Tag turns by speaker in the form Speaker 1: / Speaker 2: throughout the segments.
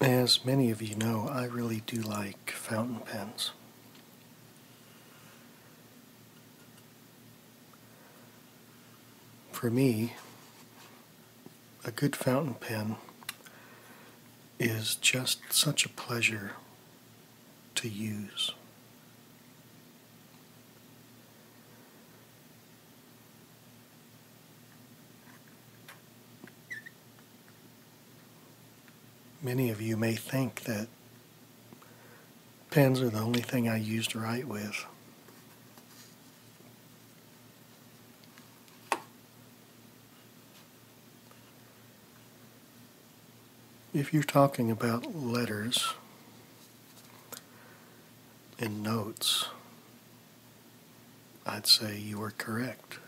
Speaker 1: As many of you know, I really do like fountain pens. For me, a good fountain pen is just such a pleasure to use. Many of you may think that pens are the only thing I use to write with. if you're talking about letters and notes I'd say you are correct.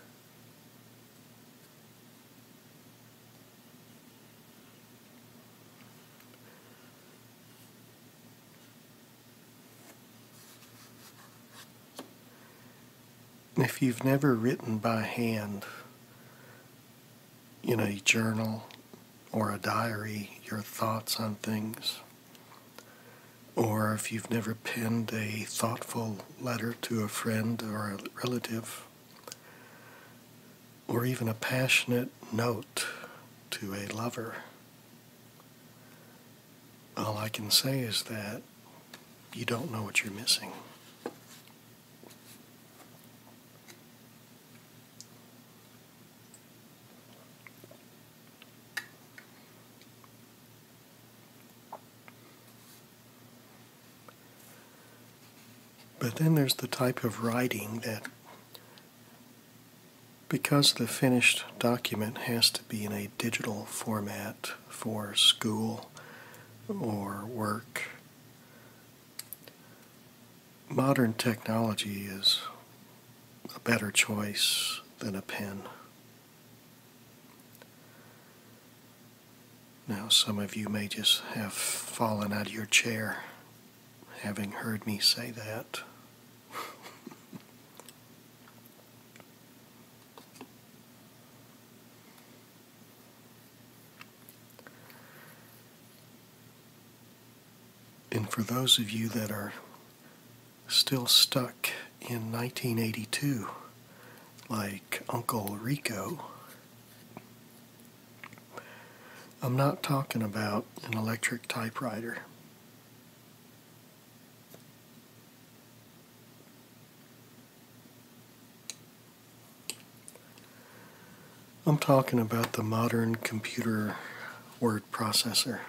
Speaker 1: If you've never written by hand in a journal or a diary your thoughts on things, or if you've never penned a thoughtful letter to a friend or a relative, or even a passionate note to a lover, all I can say is that you don't know what you're missing. But then there's the type of writing that, because the finished document has to be in a digital format for school or work, modern technology is a better choice than a pen. Now, some of you may just have fallen out of your chair having heard me say that. and for those of you that are still stuck in 1982, like Uncle Rico. I'm not talking about an electric typewriter. I'm talking about the modern computer word processor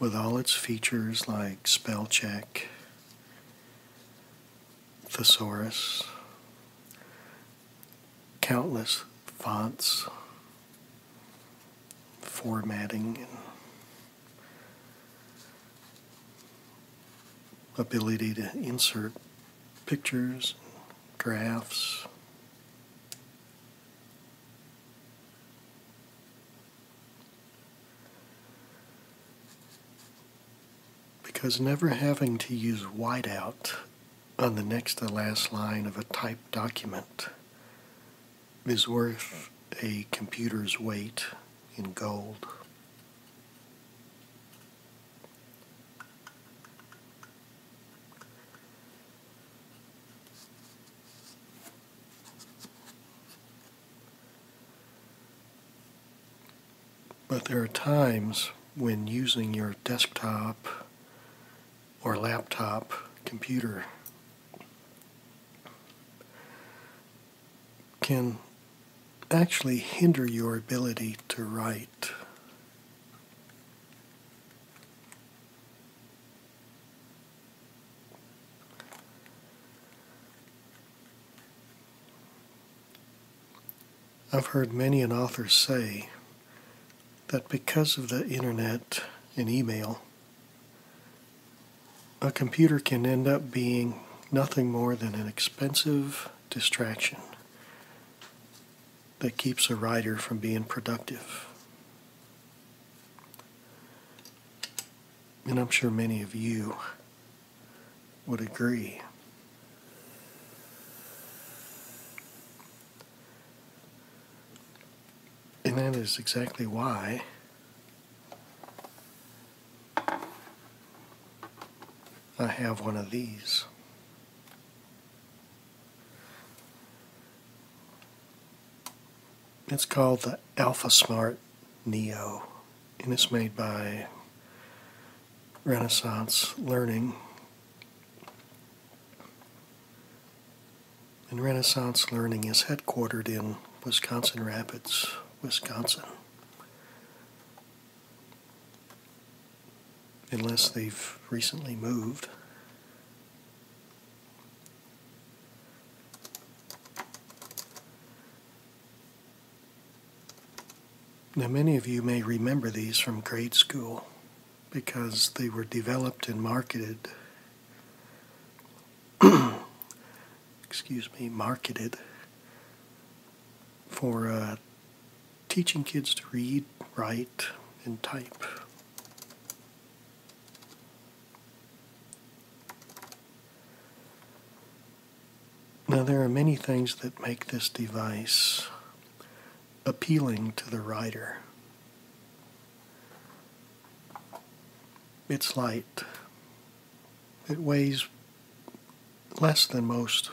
Speaker 1: with all its features like spell check, thesaurus, countless fonts, formatting, ability to insert pictures, graphs. Because never having to use whiteout on the next to last line of a typed document is worth a computer's weight in gold. But there are times when using your desktop or laptop computer can actually hinder your ability to write. I've heard many an author say that because of the internet and email, a computer can end up being nothing more than an expensive distraction that keeps a writer from being productive. And I'm sure many of you would agree. And that is exactly why I have one of these. It's called the AlphaSmart Neo, and it's made by Renaissance Learning. And Renaissance Learning is headquartered in Wisconsin Rapids, Wisconsin. Unless they've recently moved. Now, many of you may remember these from grade school because they were developed and marketed. excuse me, marketed for uh, teaching kids to read, write, and type. Now, there are many things that make this device appealing to the writer. It's light. It weighs less than most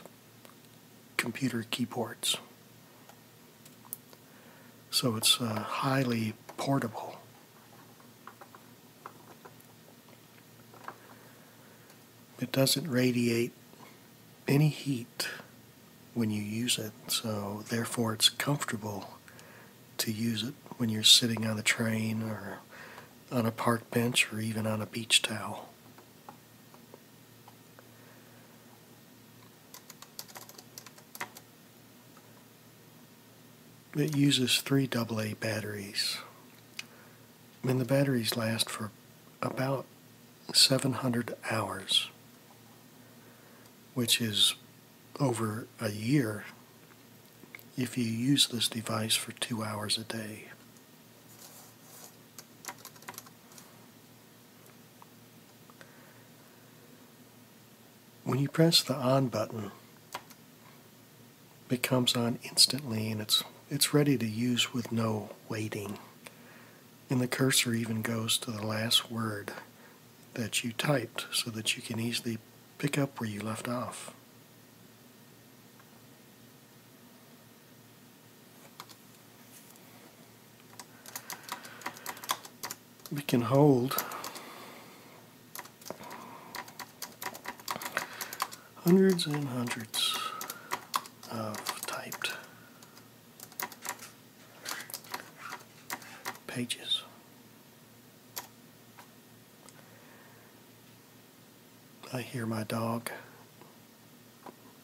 Speaker 1: computer keyboards. So it's uh, highly portable. It doesn't radiate any heat when you use it, so therefore it's comfortable to use it when you're sitting on the train or on a park bench or even on a beach towel. It uses three AA batteries, and the batteries last for about 700 hours, which is over a year if you use this device for two hours a day when you press the on button, it comes on instantly and it's it's ready to use with no waiting. And the cursor even goes to the last word that you typed so that you can easily pick up where you left off we can hold 100s and 100s of typed pages. I hear my dog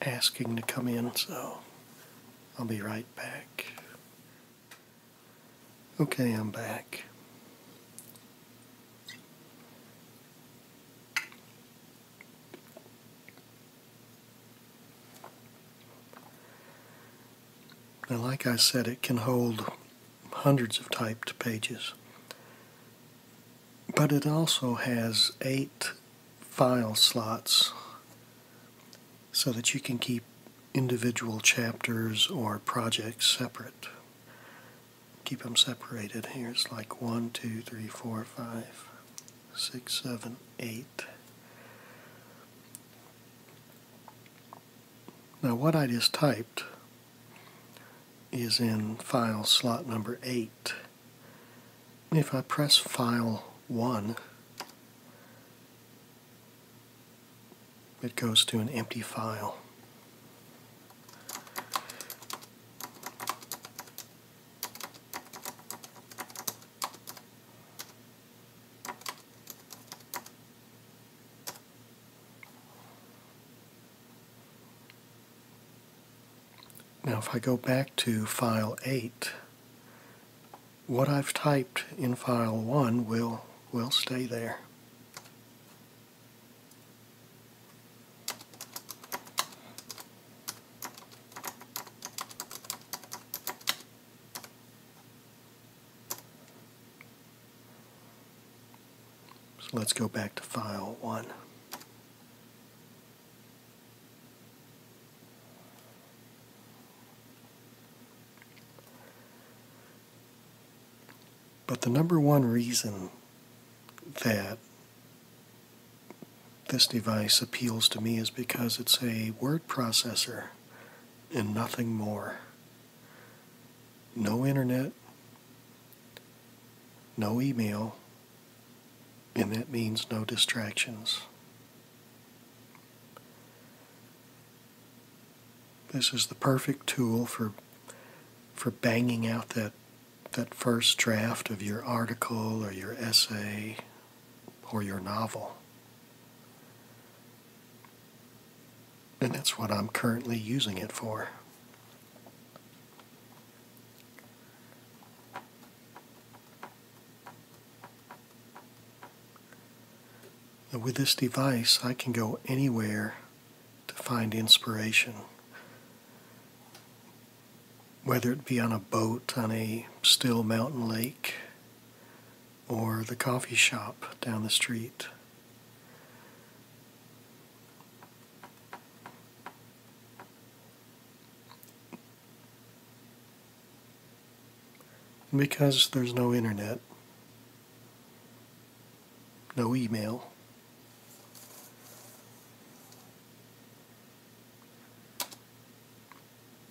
Speaker 1: asking to come in, so I'll be right back. Okay, I'm back. Now, like I said, it can hold hundreds of typed pages, but it also has eight file slots so that you can keep individual chapters or projects separate. Keep them separated. Here's like 1, 2, 3, 4, 5, 6, 7, 8. Now what I just typed is in file slot number 8. If I press file 1, it goes to an empty file. Now if I go back to file 8, what I've typed in file 1 will, will stay there. So let's go back to file 1. But the number one reason that this device appeals to me is because it's a word processor and nothing more. No internet, no email, and that means no distractions. This is the perfect tool for for banging out that that first draft of your article or your essay or your novel. And that's what I'm currently using it for. And with this device, I can go anywhere to find inspiration, whether it be on a boat, on a still mountain lake, or the coffee shop down the street. Because there's no internet, no email.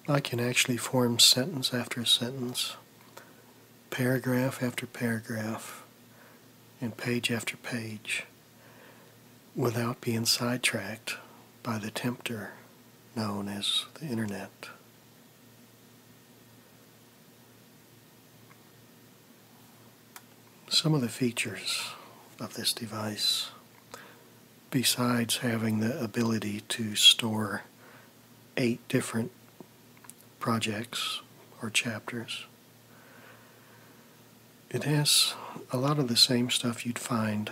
Speaker 1: I can actually form sentence after sentence, paragraph after paragraph, and page after page without being sidetracked by the tempter known as the internet. Some of the features of this device, besides having the ability to store eight different projects or chapters, it has a lot of the same stuff you'd find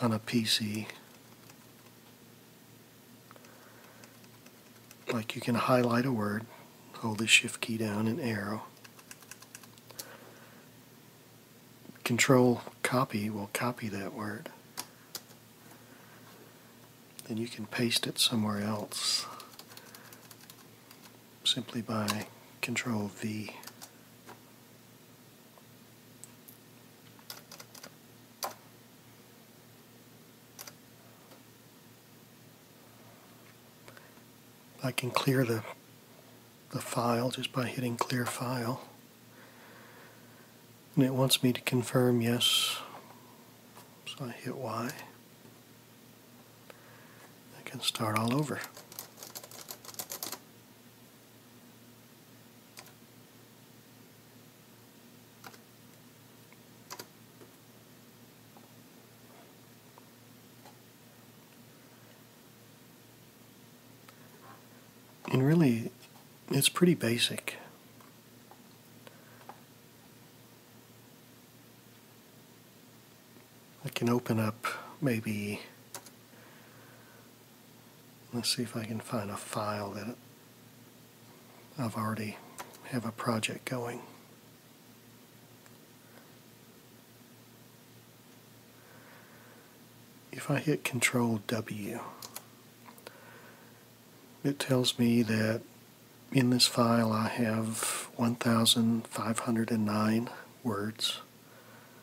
Speaker 1: on a PC. Like you can highlight a word, hold the shift key down and arrow. Control copy will copy that word. Then you can paste it somewhere else simply by control V. I can clear the, the file just by hitting clear file. And it wants me to confirm yes. So I hit Y. I can start all over. And really, it's pretty basic. I can open up maybe Let's see if I can find a file that I've already have a project going. If I hit Control W, it tells me that in this file I have 1,509 words.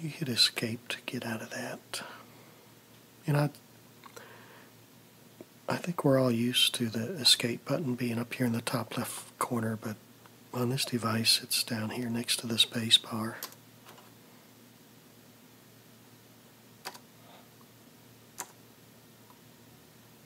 Speaker 1: You hit escape to get out of that. And I, I think we're all used to the escape button being up here in the top left corner, but on this device it's down here next to the space bar.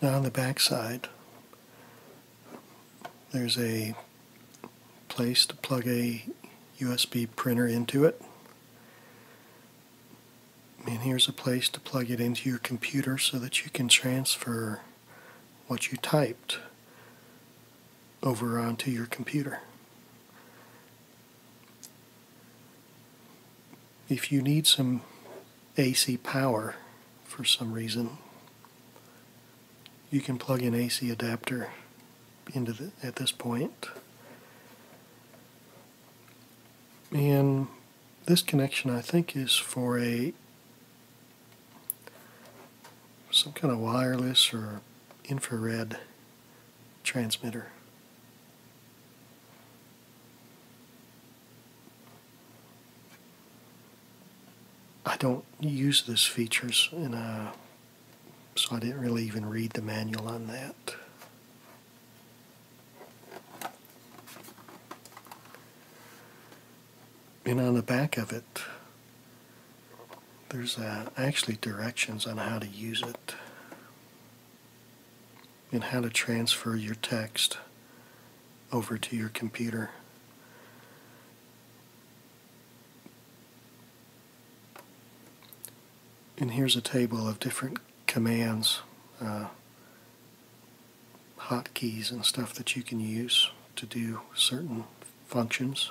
Speaker 1: Now on the back side, there's a place to plug a USB printer into it. And here's a place to plug it into your computer so that you can transfer what you typed over onto your computer. If you need some AC power for some reason, you can plug an AC adapter into the, at this point. And this connection I think is for a some kind of wireless or infrared transmitter. I don't use these features, and uh, so I didn't really even read the manual on that. And on the back of it, there's uh, actually directions on how to use it and how to transfer your text over to your computer. And here's a table of different commands, uh, hotkeys and stuff that you can use to do certain functions.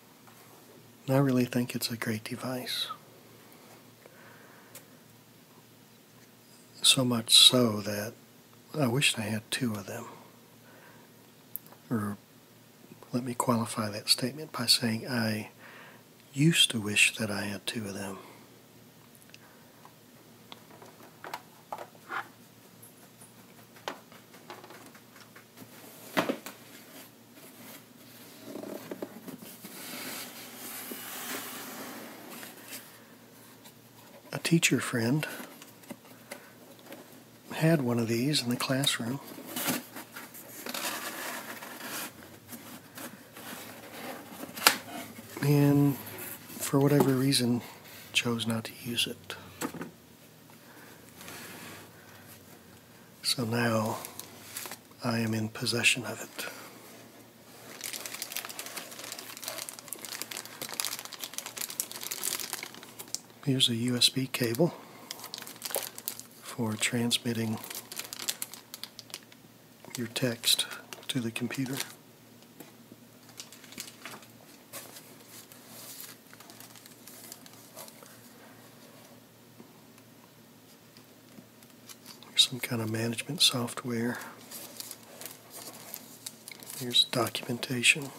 Speaker 1: I really think it's a great device. So much so that I wish I had two of them. Or let me qualify that statement by saying I used to wish that I had two of them. A teacher friend had one of these in the classroom. And for whatever reason, chose not to use it. So now I am in possession of it. Here's a USB cable for transmitting your text to the computer. Here's some kind of management software. Here's documentation.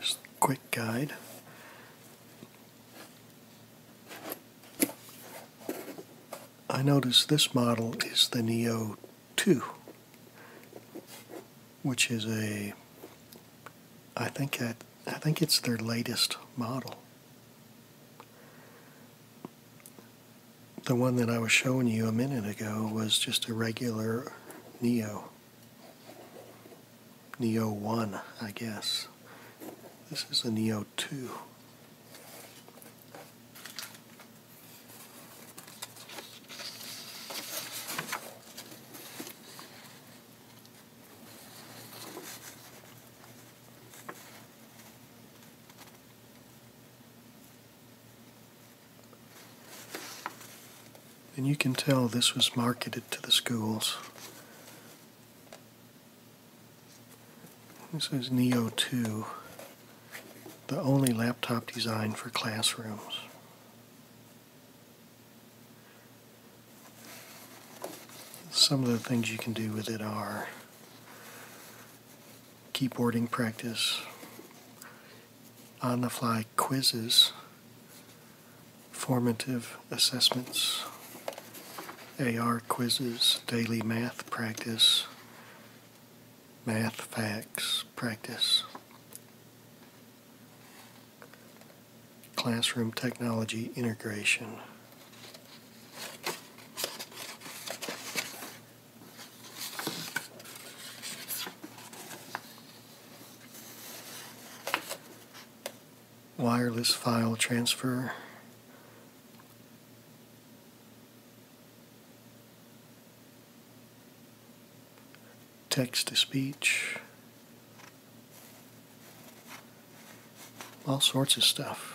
Speaker 1: Just a quick guide. I notice this model is the Neo 2, which is a I think that I think it's their latest model. The one that I was showing you a minute ago was just a regular Neo. Neo 1, I guess. This is a Neo 2. And you can tell this was marketed to the schools. This is Neo 2, the only laptop designed for classrooms. Some of the things you can do with it are keyboarding practice, on the fly quizzes, formative assessments, AR quizzes, daily math practice, math facts practice, classroom technology integration wireless file transfer. Text to speech. All sorts of stuff.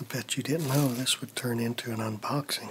Speaker 1: I bet you didn't know this would turn into an unboxing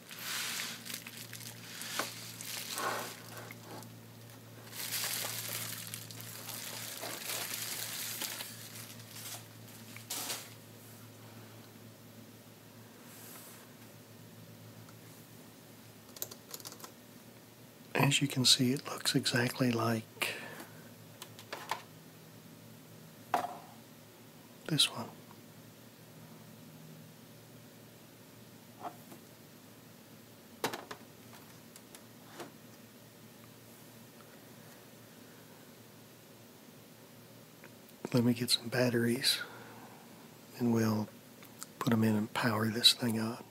Speaker 1: As you can see, it looks exactly like this one. Let me get some batteries and we'll put them in and power this thing up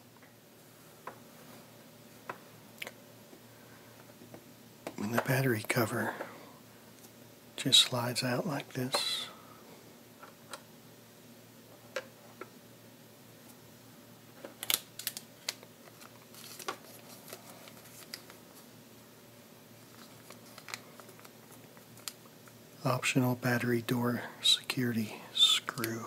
Speaker 1: when the battery cover just slides out like this. Optional battery door security screw.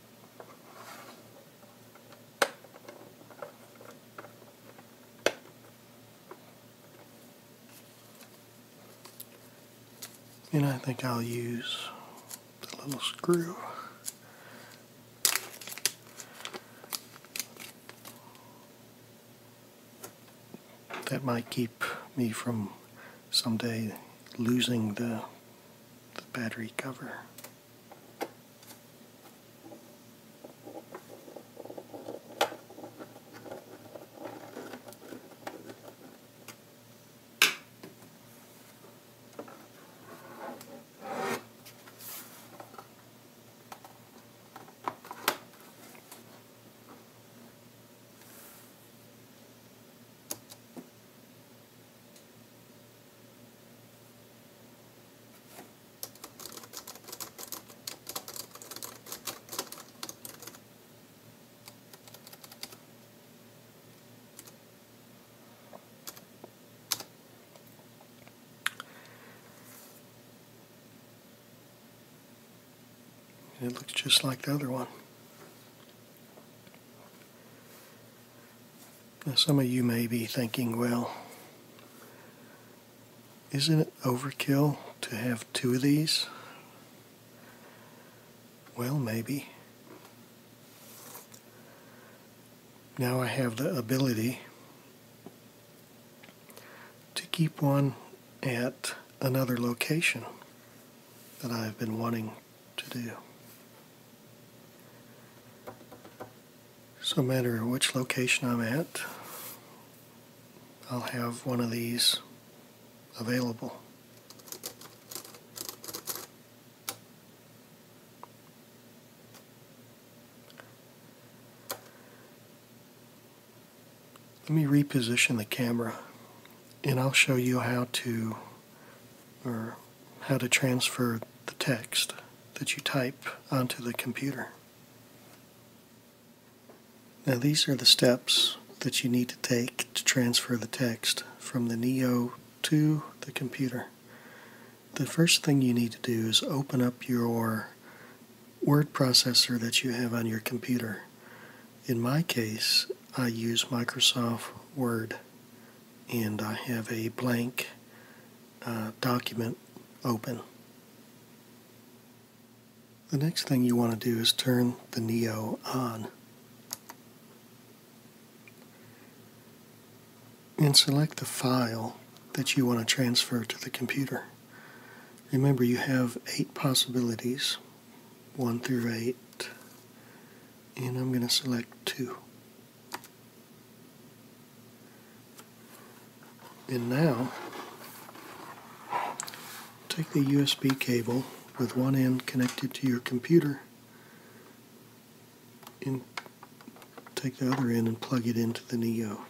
Speaker 1: And I think I'll use the little screw. That might keep me from someday losing the the battery cover. It looks just like the other one. Now, some of you may be thinking, well, isn't it overkill to have two of these? Well, maybe. Now I have the ability to keep one at another location that I've been wanting to do. So no matter which location I'm at, I'll have one of these available. Let me reposition the camera and I'll show you how to or how to transfer the text that you type onto the computer. Now these are the steps that you need to take to transfer the text from the Neo to the computer. The first thing you need to do is open up your word processor that you have on your computer. In my case, I use Microsoft Word and I have a blank uh, document open. The next thing you want to do is turn the Neo on. And select the file that you want to transfer to the computer. Remember you have eight possibilities 1 through 8, and I'm going to select 2. And now, take the USB cable with one end connected to your computer and take the other end and plug it into the Neo.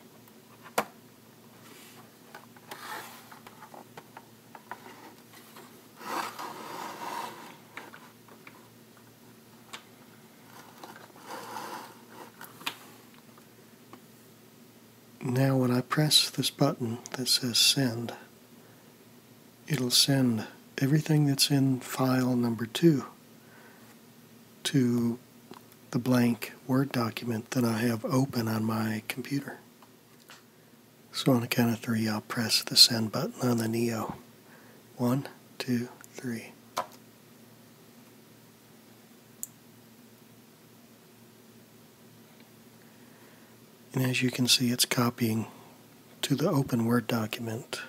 Speaker 1: Now, when I press this button that says send, it'll send everything that's in file number two to the blank Word document that I have open on my computer. So on a count of three, I'll press the send button on the Neo. One, two, three. And as you can see, it's copying to the open Word document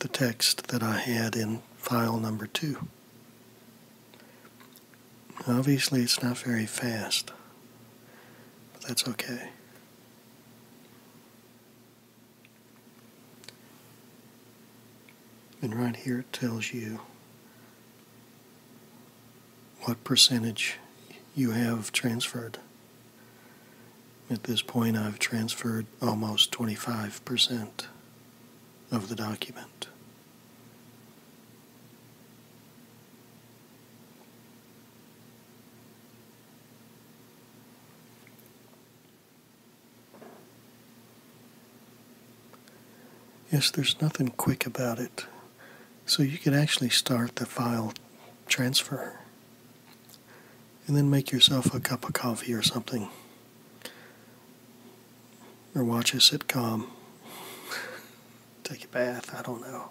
Speaker 1: the text that I had in file number two. Obviously, it's not very fast but that's okay. And right here it tells you what percentage you have transferred. At this point, I've transferred almost 25% of the document. Yes, there's nothing quick about it. So you can actually start the file transfer and then make yourself a cup of coffee or something or watch a sitcom. Take a bath, I don't know.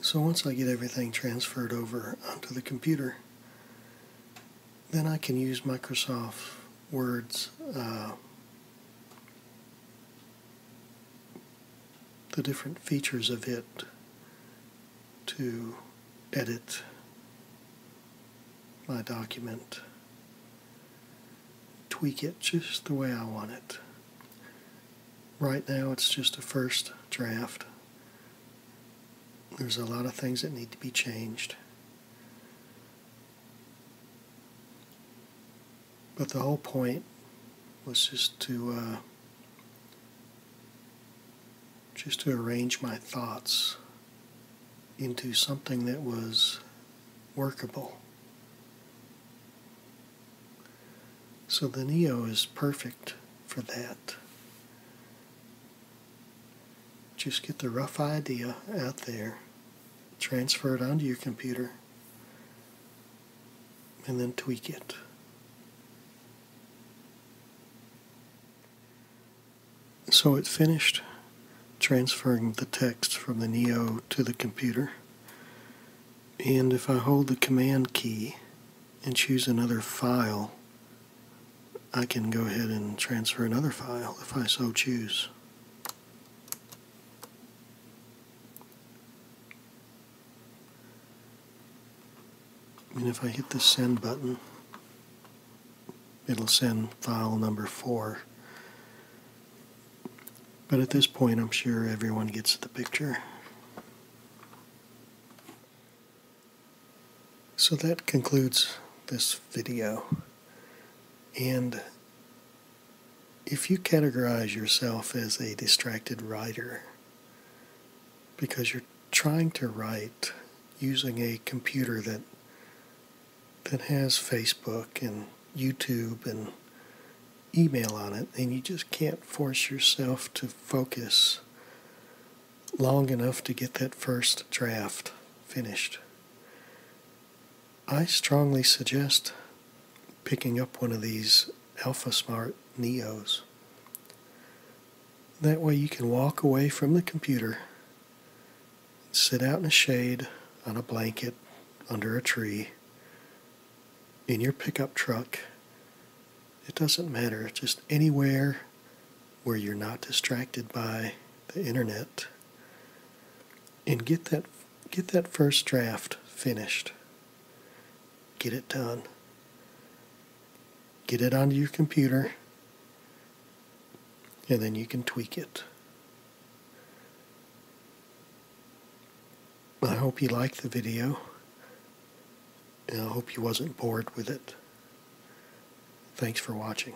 Speaker 1: So once I get everything transferred over onto the computer, then I can use Microsoft Word's uh, the different features of it to edit my document, tweak it just the way I want it. Right now, it's just a first draft. There's a lot of things that need to be changed. But the whole point was just to uh, just to arrange my thoughts into something that was workable. So the Neo is perfect for that. Just get the rough idea out there, transfer it onto your computer, and then tweak it. So it finished transferring the text from the Neo to the computer. And if I hold the command key and choose another file, I can go ahead and transfer another file if I so choose. And if I hit the send button, it'll send file number four. But at this point, I'm sure everyone gets the picture. So that concludes this video. And if you categorize yourself as a distracted writer because you're trying to write using a computer that that has Facebook and YouTube and email on it, and you just can't force yourself to focus long enough to get that first draft finished. I strongly suggest picking up one of these AlphaSmart Neos. That way you can walk away from the computer sit out in the shade on a blanket under a tree in your pickup truck. It doesn't matter, just anywhere where you're not distracted by the internet and get that get that first draft finished. Get it done. Get it onto your computer and then you can tweak it. I hope you liked the video, and I hope you wasn't bored with it. Thanks for watching.